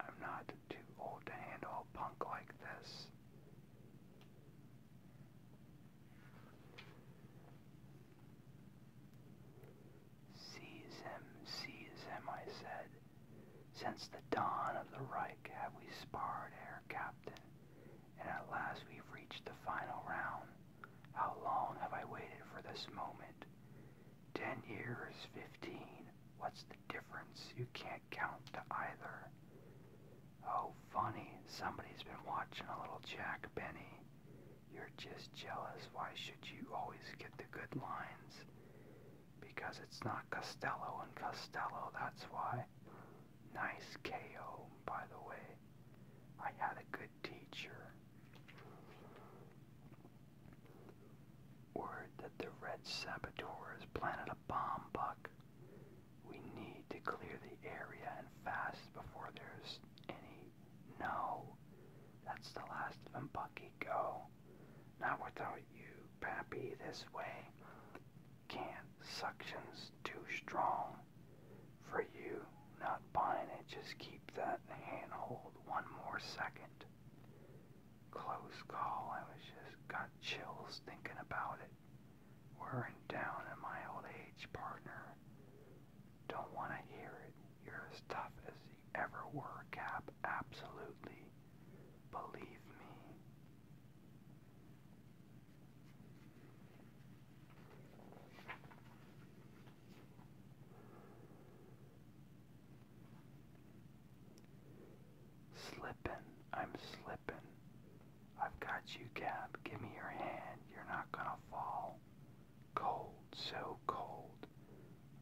I'm not too old to handle a punk like this. Seize him, seize him, I said. Since the dawn of the Reich have we sparred, Herr Captain, and at last we've reached the final round. How long have I waited for this moment? Ten years, fifteen. What's difference. You can't count to either. Oh, funny. Somebody's been watching a little Jack Benny. You're just jealous. Why should you always get the good lines? Because it's not Costello and Costello, that's why. Nice KO, by the way. I had a good teacher. Word that the Red Saboteurs planted a bomb, Buck. We need to clear the area and fast before there's any. No. That's the last of them, Bucky. Go. Not without you, Pappy. This way. Can't. Suction's too strong. For you, not buying it, just keep that handhold one more second close call. I was just got chills thinking about it. We're in down in my old age, partner. Don't want to hear it. You're as tough as you ever were, Cap. Absolutely. Believe me. Slipping, I'm slipping. I've got you, Gab. Give me your hand. You're not gonna fall. Cold, so cold.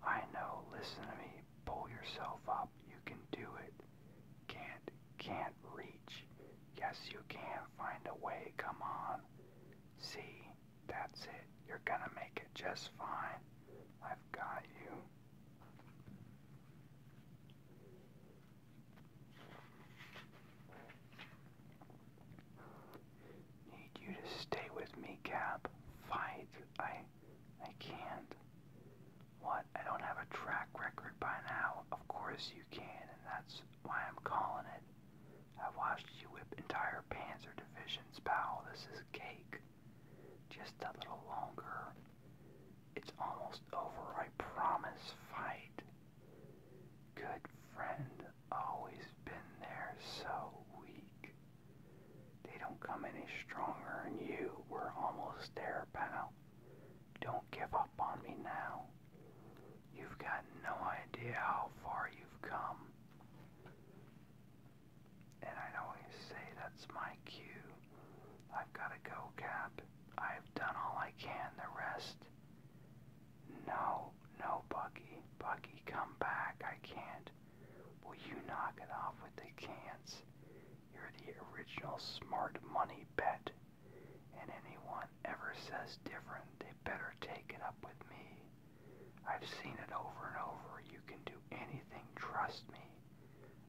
I know, listen to me. Pull yourself up. You can do it. Can't, can't reach. Yes, you can. Find a way. Come on. See, that's it. You're gonna make it just fine. I've got you. Need you to stay with me, Cap. Fight. I I can't. What? I don't have a track record by now. Of course you can, and that's why I'm calling it. I have watched you whip entire Panzer divisions, pal. This is cake. Just a little longer. It's almost over, I promise. Fight. Good friend, always been there, so weak. They don't come any stronger, and you were almost there, pal. Don't give up on me now. You've got no idea how far you've come. And I always say that's my cue. I've got to go, Cap. I've done all I can. The rest. No, no, Bucky. Bucky, come back. I can't. Will you knock it off with the cans? You're the original smart money bet. And anyone ever says different, they better take it up with me. I've seen it over and over. You can do anything, trust me.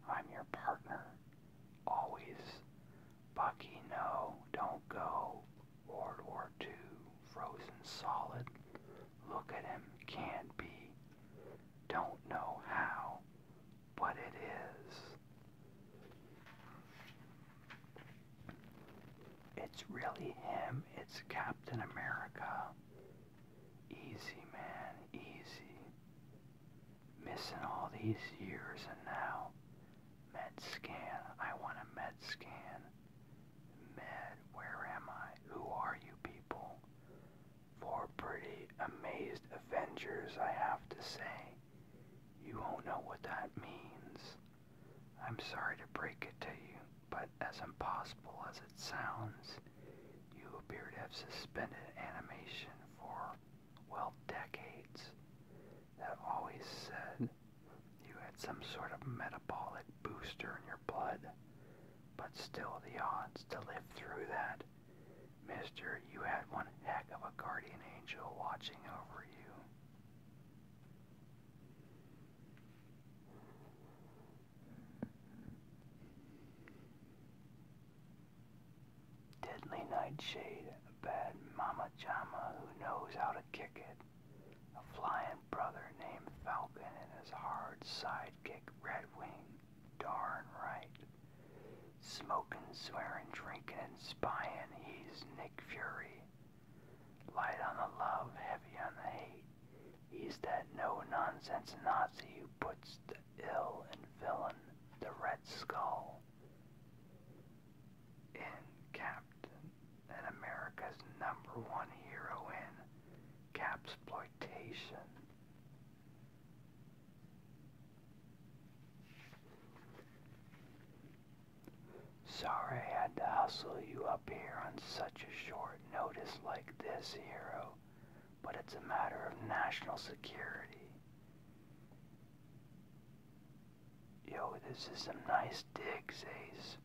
I'm your partner. Always. Bucky, no, don't go. World War II, frozen solid. Look at him, can't be. Don't know how, but it is. It's really him, it's Captain America. Easy, man, easy. Missing all these years and now. Med scan, I want a med scan. Med, where am I? Who are you people? Four pretty amazed Avengers, I have to say. You won't know what that means. I'm sorry to break it to you, but as impossible as it sounds, you appeared to have suspended animation for, well, decades. That always said hmm. you had some sort of metabolic booster in your blood. But still, the odds to live through that. Mister, you had one heck of a guardian angel watching over you. Deadly Nightshade, a bad mama jama who knows how to kick it. A flying brother named Falcon and his hard sidekick Redwing. Darn right. Smoking, swearing, drinking, and spying, he's Nick Fury. Light on the love, heavy on the hate. He's that no-nonsense Nazi who puts the ill and villain, the Red Skull, in Captain America's number one hero in Capsploitation. Sorry I had to hustle you up here on such a short notice like this, hero but it's a matter of national security. Yo, this is some nice digs, Ace.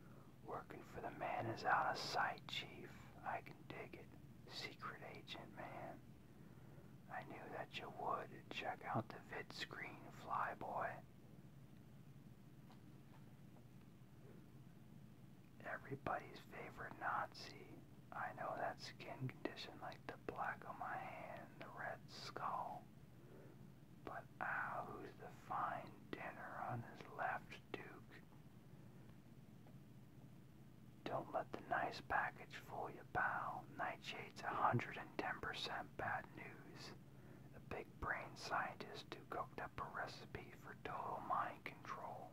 Working for the man is out of sight, Chief. I can dig it. Secret agent, man. I knew that you would. Check out the vid screen, fly boy everybody's favorite Nazi. I know that skin condition like the black on my hand, the red skull. But ah, who's the fine dinner on his left, Duke? Don't let the nice package fool you, pal. Nightshade's 110% bad news. The big brain scientist who cooked up a recipe for total mind control.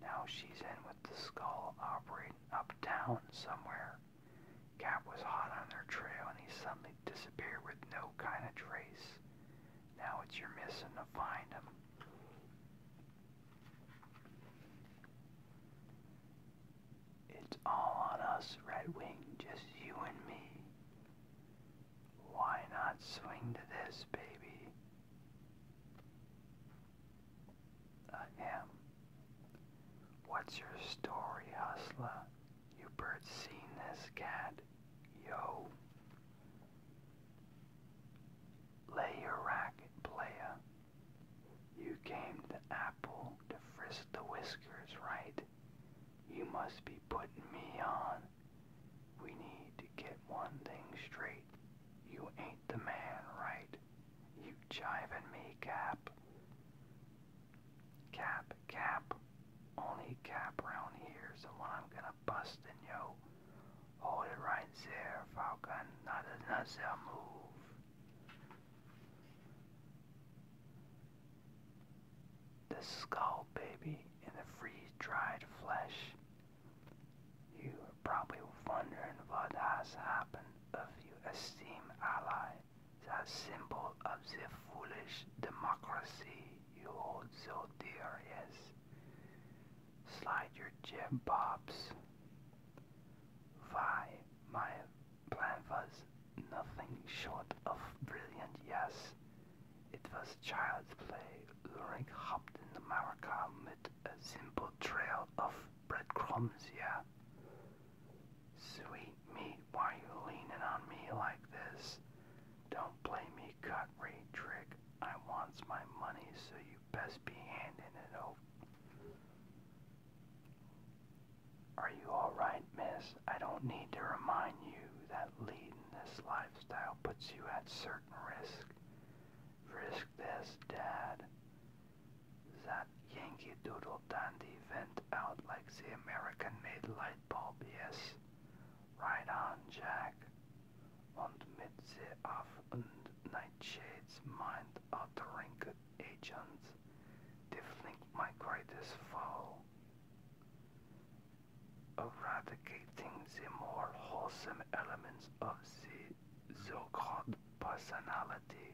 Now she's in with the skull operating uptown somewhere. Cap was hot on their trail and he suddenly disappeared with no kind of trace. Now it's your mission to find him. It's all on us, Redwing, just you and me. Why not swing to this, baby? I am. What's your story, hustler? You bird seen this cat? Yo. Lay your racket, player. You came to Apple to frisk the whiskers, right? You must be putting me on. We need to get one thing straight. You ain't the man, right? You jiving me, Cap. Cap, Cap. Only Cap round here's the one I'm gonna bust in, yo. Hold it right there, Falcon. Not another move. The skull, baby, in the free dried flesh. You are probably wondering what has happened of your esteemed ally, that symbol of the foolish democracy you hold so dear, yes. Slide your jib, Bobs. Why, my plan was nothing short of brilliant, yes. It was child's play. luring hopped in the Maracas a simple trail of breadcrumbs, yeah. Sweet meat, why are you leaning on me like this? Don't play me cut rate trick. I wants my money, so you best be handing it over. Are you alright, miss? I don't need to remind you that leading this lifestyle puts you at certain risk. Risk this, Dad. That Yankee Doodle Dandy went out like the American-made light bulb, yes. Right on, Jack. Und mit the Off- und Nightshade's mind-altering agents, they my greatest foe eradicating the more wholesome elements of the so-called personality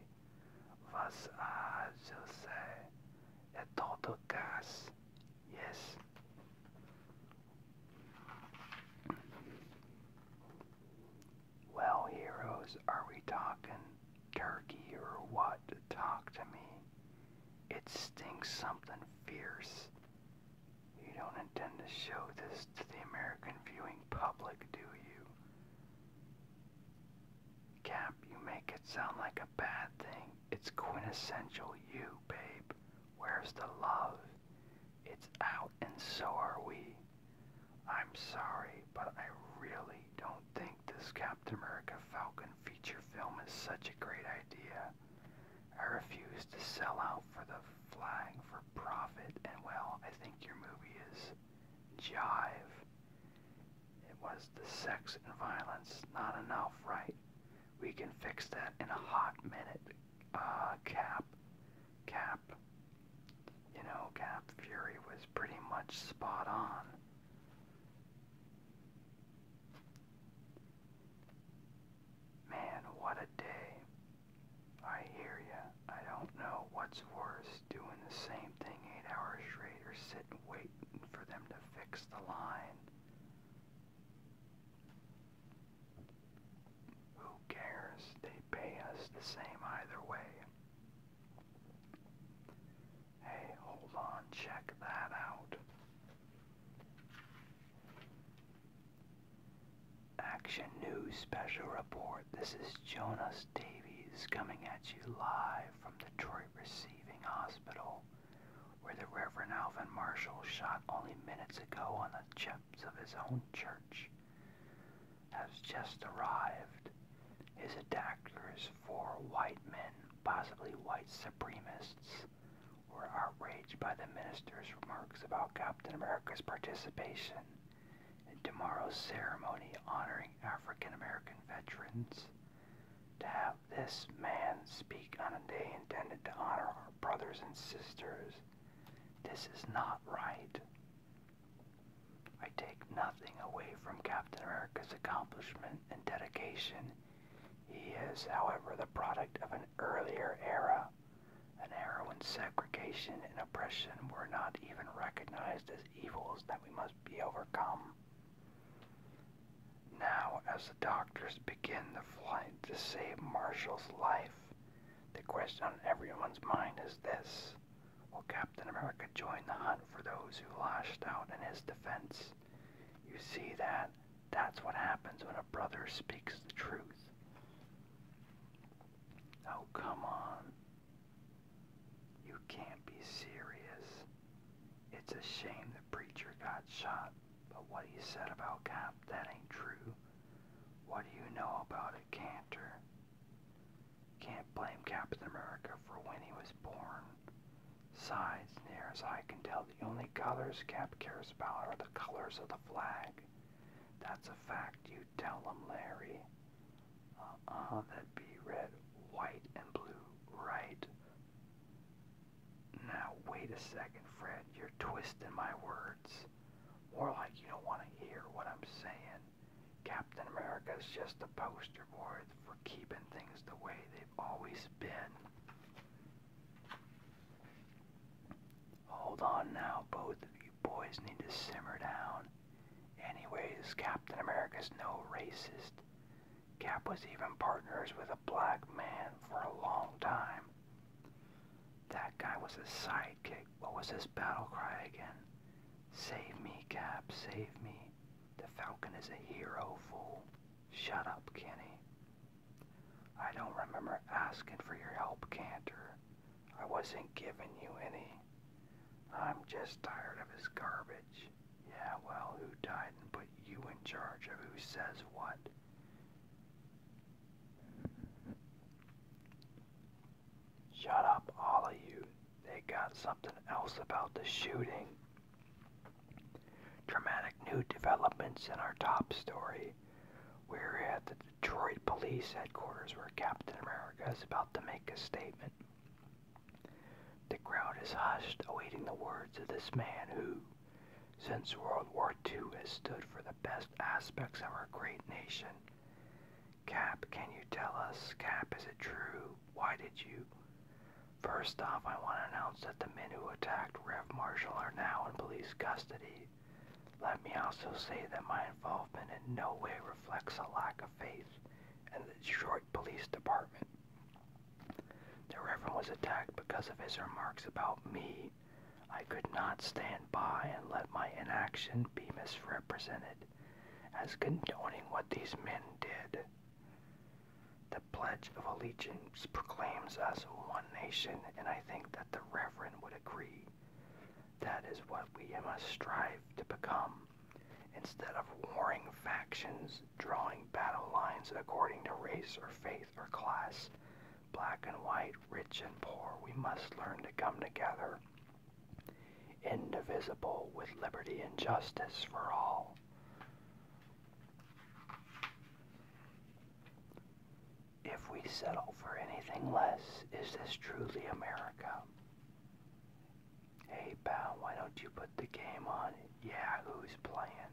was, as you say, a total gas. Yes. Well, heroes, are we talking turkey or what? Talk to me. It stinks something fierce. You don't intend to show this to the American viewing public, do you? Cap, you make it sound like a bad thing. It's quintessential you, babe. Where's the love? It's out and so are we. I'm sorry, but I really don't think this Captain America Falcon feature film is such a great idea. I refuse to sell out for the flag for profit, and well, I think your movie is jive. It was the sex and violence, not enough, right? We can fix that in a hot minute. Uh, Cap. Cap. You know, Cap Fury was pretty much spot on. Man, what a day. I hear ya. I don't know what's worse, doing the same thing eight hours straight or sitting waiting for them to fix the line. Who cares? They pay us the same either way. Hey, hold on, check that out. Action News Special Report. This is Jonas Davies coming at you live from Detroit Receiving Hospital, where the Reverend Alvin Marshall shot only minutes ago on the steps of his own church, has just arrived. His attackers, four white men, possibly white supremacists, we're outraged by the minister's remarks about Captain America's participation in tomorrow's ceremony honoring African American veterans. To have this man speak on a day intended to honor our brothers and sisters, this is not right. I take nothing away from Captain America's accomplishment and dedication. He is, however, the product of an earlier era and heroin segregation and oppression were not even recognized as evils that we must be overcome. Now, as the doctors begin the flight to save Marshall's life, the question on everyone's mind is this. Will Captain America join the hunt for those who lashed out in his defense? You see that that's what happens when a brother speaks the truth. Oh, come on. You can't be serious. It's a shame the preacher got shot, but what he said about Cap, that ain't true. What do you know about a Cantor? Can't blame Captain America for when he was born. Sides, near as I can tell, the only colors Cap cares about are the colors of the flag. That's a fact, you tell them, Larry. Uh-uh, that'd be red, white, and blue, right? Now, wait a second, Fred. You're twisting my words. More like you don't want to hear what I'm saying. Captain America's just a poster board for keeping things the way they've always been. Hold on now, both of you boys need to simmer down. Anyways, Captain America's no racist. Cap was even partners with a black man for a long time. That guy was his sidekick. What was his battle cry again? Save me, Cap, save me. The Falcon is a hero, fool. Shut up, Kenny. I don't remember asking for your help, Cantor. I wasn't giving you any. I'm just tired of his garbage. Yeah, well, who died and put you in charge of who says what? Shut up, all of you. They got something else about the shooting. Dramatic new developments in our top story. We're at the Detroit Police Headquarters where Captain America is about to make a statement. The crowd is hushed, awaiting the words of this man who, since World War II, has stood for the best aspects of our great nation. Cap, can you tell us? Cap, is it true? Why did you? First off, I want to announce that the men who attacked Rev Marshall are now in police custody. Let me also say that my involvement in no way reflects a lack of faith in the Detroit Police Department. The Reverend was attacked because of his remarks about me. I could not stand by and let my inaction be misrepresented as condoning what these men did. The Pledge of Allegiance proclaims us one nation, and I think that the Reverend would agree. That is what we must strive to become. Instead of warring factions, drawing battle lines according to race or faith or class, black and white, rich and poor, we must learn to come together, indivisible with liberty and justice for all if we settle for anything less, is this truly America? Hey, pal, why don't you put the game on? Yeah, who's playing?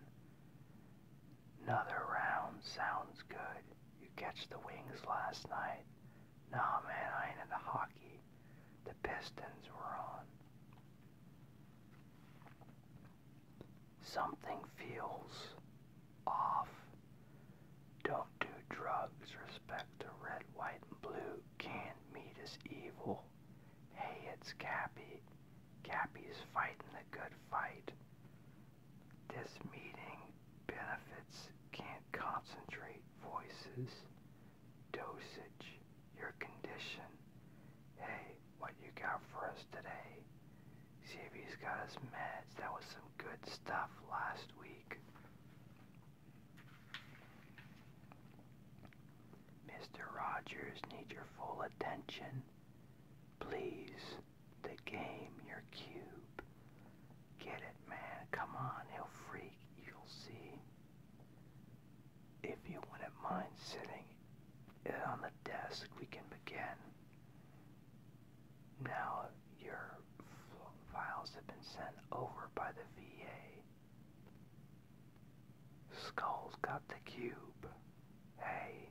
Another round sounds good. You catch the wings last night. Nah, man, I ain't into hockey. The Pistons were on. Something feels off. Don't do drugs. Respect the red, white, and blue. Canned meat is evil. Hey, it's Cappy. Cappy's fighting the good fight. This meeting benefits can't concentrate voices. Dosage, your condition. Hey, what you got for us today? See if he's got his meds. That was some good stuff last week. Mr. Rogers needs your full attention. Please, the game, your cube. Get it, man. Come on, he'll freak. You'll see. If you wouldn't mind sitting on the desk, we can begin. Now your files have been sent over by the VA. skull got the cube. Hey,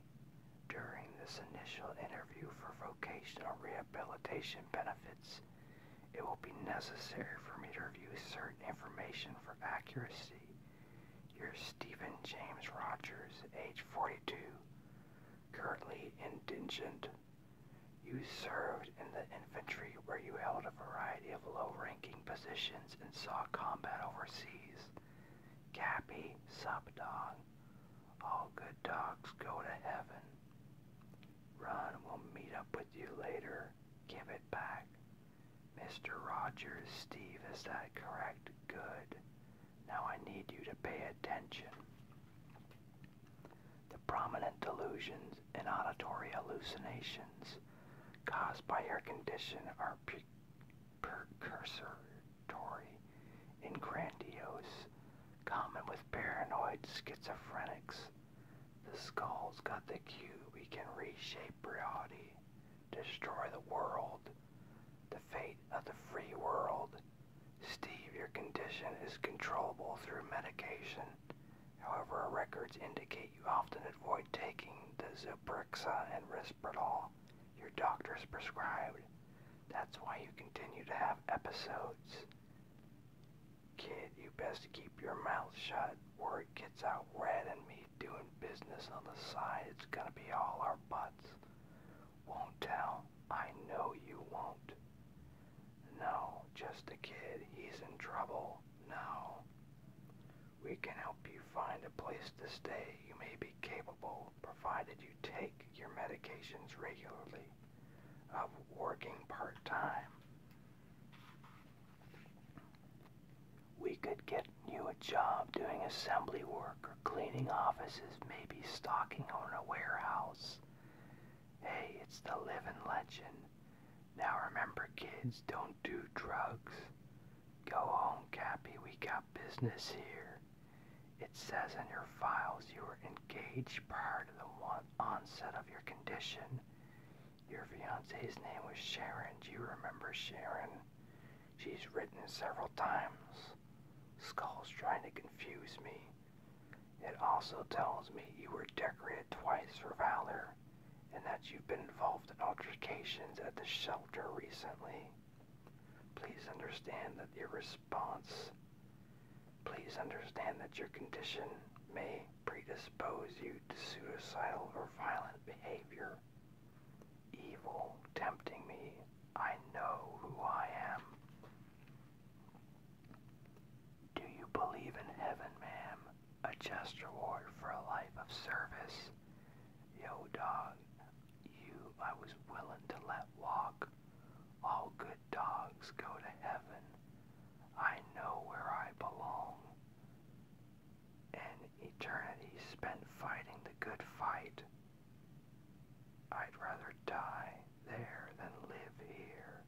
during this initial interview for vocational rehabilitation benefits, it will be necessary for me to review certain information for accuracy. You're Stephen James Rogers, age 42, currently indigent. You served in the infantry where you held a variety of low-ranking positions and saw combat overseas. Gappy, Sapdog, all good dogs go to heaven. Run will meet up with you later. Give it back. Mr. Rogers, Steve, is that correct? Good. Now I need you to pay attention. The prominent delusions and auditory hallucinations caused by your condition are precursory and grandiose, common with paranoid schizophrenics. The skull's got the cue. We can reshape reality, destroy the world, the fate of the free world Steve, your condition is controllable through medication. However, records indicate you often avoid taking the Zyprexa and Risperdal your doctors prescribed. That's why you continue to have episodes. Kid, you best keep your mouth shut. Word gets out Red and me doing business on the side. It's gonna be all our butts. Won't tell. I know you won't. No, just a kid. He's in trouble. No. We can help you find a place to stay. You may be capable, provided you take your medications regularly, of working part time. We could get you a job doing assembly work cleaning offices, maybe stocking on a warehouse. Hey, it's the living legend. Now remember, kids, don't do drugs. Go home, Cappy, we got business here. It says in your files you were engaged part of the onset of your condition. Your fiancee's name was Sharon. Do you remember Sharon? She's written several times. Skull's trying to confuse me. It also tells me you were decorated twice for valor and that you've been involved in altercations at the shelter recently. Please understand that your response, please understand that your condition may predispose you to suicidal or violent behavior. Evil tempting me I know who I am. Do you believe in heaven, ma'am? A just reward for a life of service? Yo, dog, you I was willing to let walk. All good dogs go to heaven. I know where I belong. An eternity spent fighting the good fight. I'd rather die there than live here.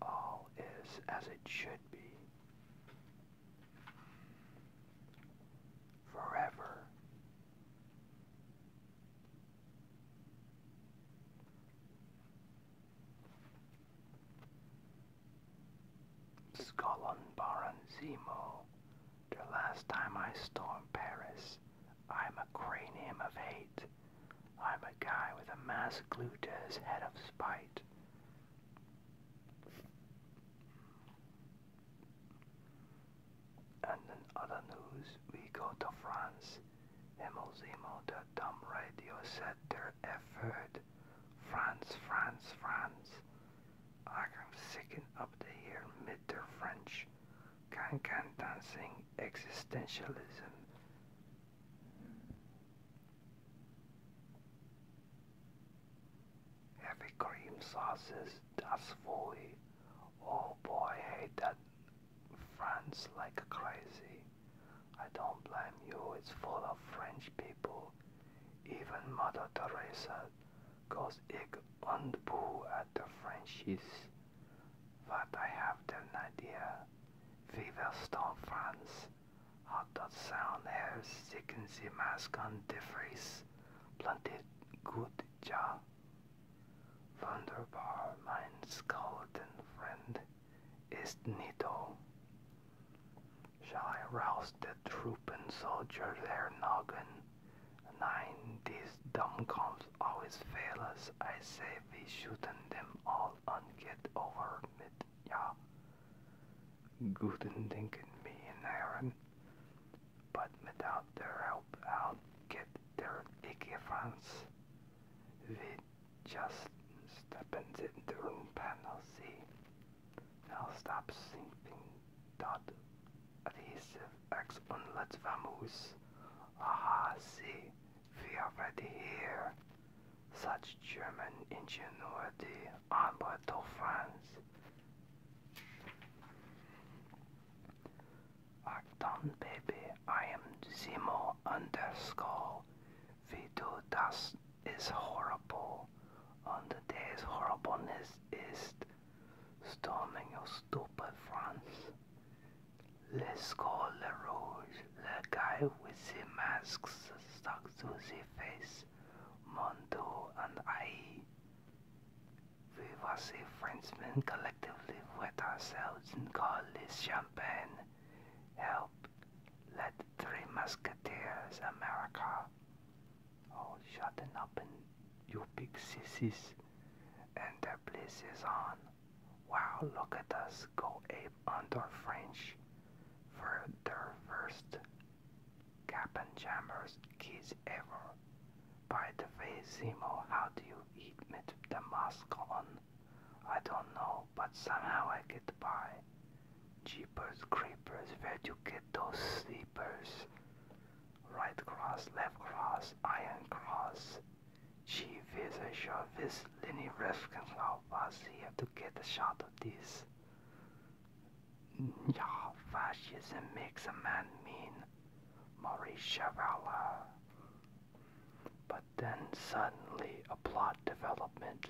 All is as it should be. Forever. Skolon Baranzimo the last time I stormed Paris, I'm a cranium of hate. I'm a guy with a mask glued to his head of spite. And in other news, we go to France. Emozimo, the dumb radio said their effort. France, France, France. I'm sick up to hear mid French. Can Can Dancing Existentialism. Heavy cream sauces, that's fully. Oh boy, hate that France like crazy. I don't blame you, it's full of French people. Even Mother Teresa 'Cause goes ich not pull at the Frenchies. But I have the idea. We will storm France. How does sound hair sicken the mask on the face? Planted good jaw. Wunderbar, my golden friend, is Nito. Shall I rouse the trooping soldier there, noggin? 9. These dumb comps always fail us. I say we shooten them all and get over it. Yeah. Guten Dinken, me and Aaron. But without their help, I'll get their icky friends. We just step into the room and I'll see. I'll stop sleeping dot adhesive X let's Ah, see, we are ready here. Such German ingenuity, onward to France. Acton, baby, I am Zemo underscore. V2, is horrible. And the day's horribleness is storming your stupid France. Let's call the Rouge, the guy with the masks stuck to the face, Mondo and I. We was the Frenchmen collectively wet ourselves and call this champagne. Help, let the three musketeers America. Oh, shut up and you big sissies. And the place is on. Wow, look at us go ape under French for their first cap and jammers kids ever. By the way, Zemo, how do you eat with the mask on? I don't know, but somehow I get by. Jeepers, creepers, where'd you get those sleepers? right cross, left cross, iron cross. She with a short with Lenny was here to get a shot of this. Yeah, fascism makes a man mean. Maurice Chavala. But then suddenly a plot development.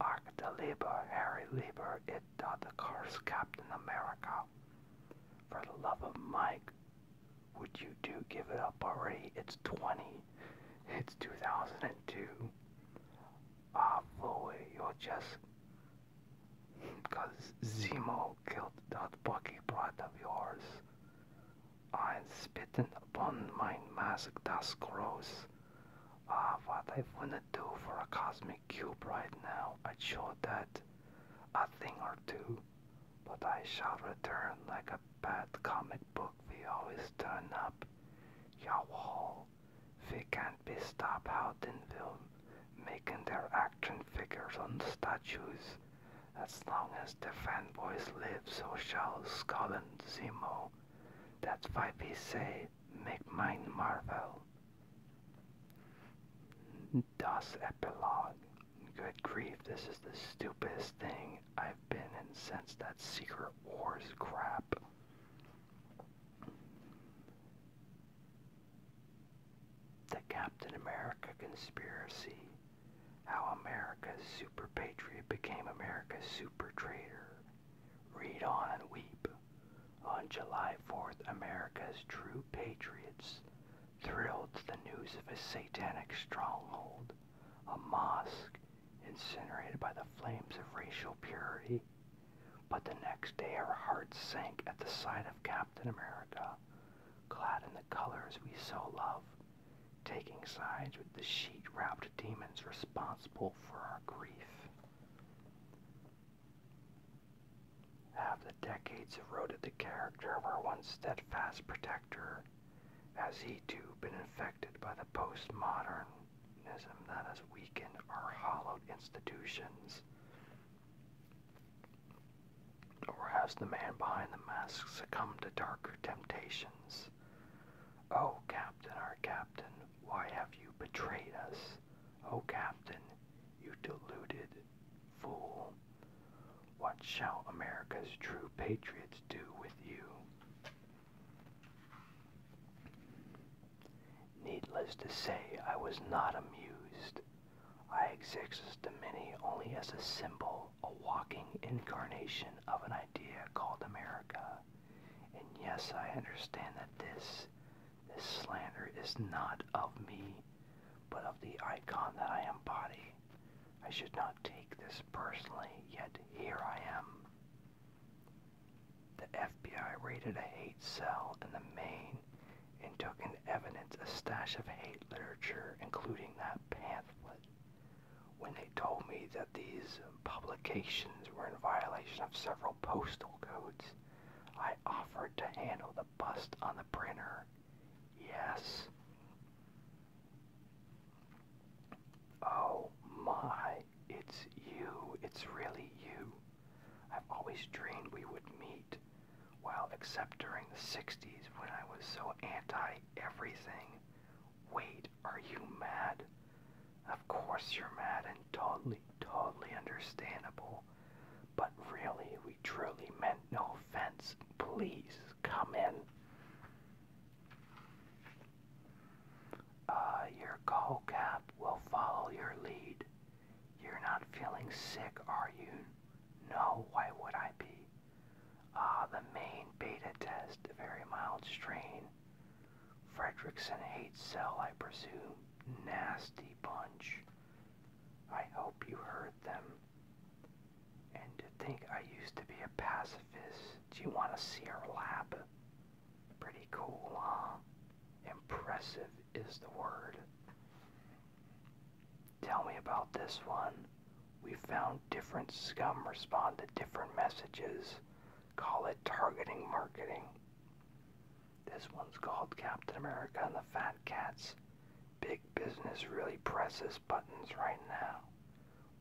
Arc Labor, Harry Labor, it uh, the course, Captain America for the love of Mike, would you do give it up already? It's 20. It's 2002. Ah, boy, you're just. Because Zemo killed that Bucky brat of yours. I'm spitting upon my mask, that's gross. Ah, what I wanna do for a cosmic cube right now. I would show that a thing or two, but I shall return like a bad comic book. We always turn up. Y'all We can't be stopped out in film making their action figures on statues. As long as the fanboys live, so shall Skull and That's why we say, make mine Marvel. Dust Epilogue. Good grief, this is the stupidest thing I've been in since that Secret Wars crap. The Captain America conspiracy. How America's super patriot became America's super traitor. Read on and weep. On July 4th, America's true patriots thrilled to the news of a satanic stronghold, a mosque incinerated by the flames of racial purity. But the next day our hearts sank at the sight of Captain America, clad in the colors we so love, taking sides with the sheet-wrapped demons responsible for our grief have the decades eroded the character of our once steadfast protector? Has he too been infected by the postmodernism that has weakened our hollowed institutions? Or has the man behind the mask succumbed to darker temptations? Oh, Captain, our Captain, why have you betrayed us? Oh, Captain, you deluded fool. What shall America's true patriots do with you? Needless to say, I was not amused. I exist to many only as a symbol, a walking incarnation of an idea called America. And yes, I understand that this this slander is not of me, but of the icon that I embody. I should not take this personally, yet here I am. The FBI raided a hate cell in the main and took in evidence a stash of hate literature, including that pamphlet. When they told me that these publications were in violation of several postal codes, I offered to handle the bust on the printer. Yes. Oh my, it's you. It's really you. I've always dreamed we would meet. Well, except during the 60s when I was so anti everything. Wait, are you mad? Of course you're mad and totally, totally understandable but really, we truly meant no offense. Please come in. Uh, your co-cap will follow your lead. You're not feeling sick, are you? No, why would I be? Ah, the main beta test, a very mild strain. Fredrickson hates cell, I presume. Nasty bunch. I hope you heard them. And to think I used to be a pacifist. Do you want to see our lab? Pretty cool, huh? Impressive is the word. Tell me about this one. We found different scum respond to different messages. Call it targeting marketing. This one's called Captain America and the Fat Cats. Big business really presses buttons right now.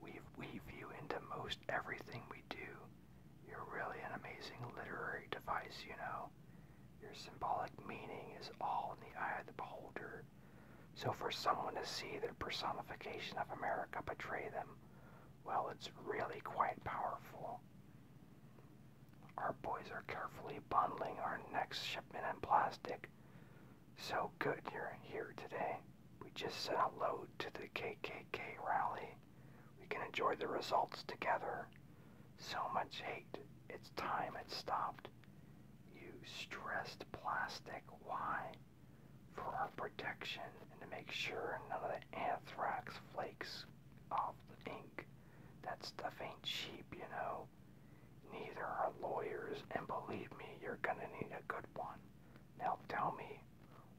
We, weave you into most everything we do. You're really an amazing literary device, you know. Your symbolic meaning is all in the eye of the beholder. So for someone to see their personification of America betray them, well, it's really quite powerful. Our boys are carefully bundling our next shipment in plastic. So good you're here today. We just sent a load to the KKK rally. We can enjoy the results together. So much hate. It's time it stopped. You stressed plastic. Why? For our protection and to make sure none of the anthrax flakes off the ink. That stuff ain't cheap, you know. Neither are lawyers, and believe me, you're gonna need a good one. Now tell me,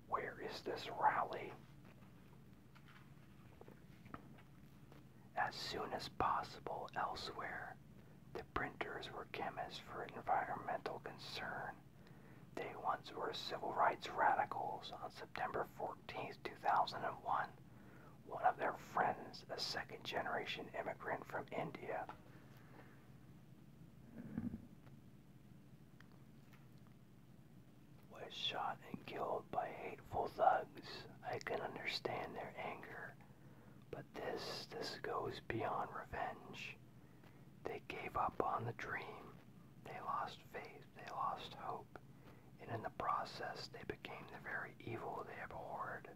where is this rally? As soon as possible elsewhere. The printers were chemists for environmental concern. They once were civil rights radicals. On September 14th, 2001, one of their friends, a second generation immigrant from India. Was shot and killed by hateful thugs. I can understand their anger, but this, this goes beyond revenge. They gave up on the dream. They lost faith. They lost hope and in the process they became the very evil they abhorred.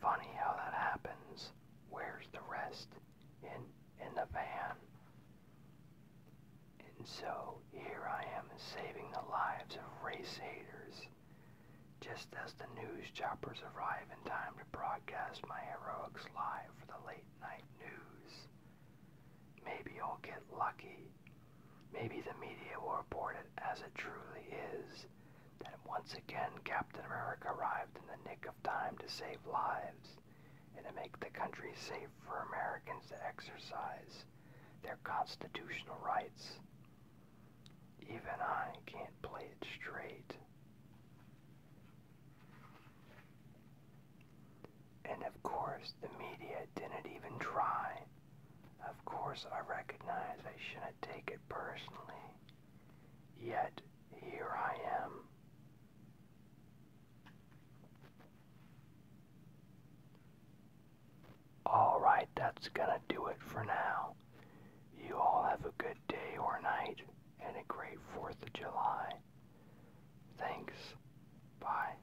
Funny how that happens. Where's the rest? In in the van. And so here I am saving the lives of race haters. Just as the news choppers arrive in time to broadcast my heroics live for the late night news. Maybe I'll get lucky Maybe the media will report it as it truly is that once again Captain America arrived in the nick of time to save lives and to make the country safe for Americans to exercise their constitutional rights. Even I can't play it straight. And of course, the media didn't even try of course, I recognize I shouldn't take it personally, yet here I am. Alright, that's gonna do it for now. You all have a good day or night and a great 4th of July. Thanks. Bye.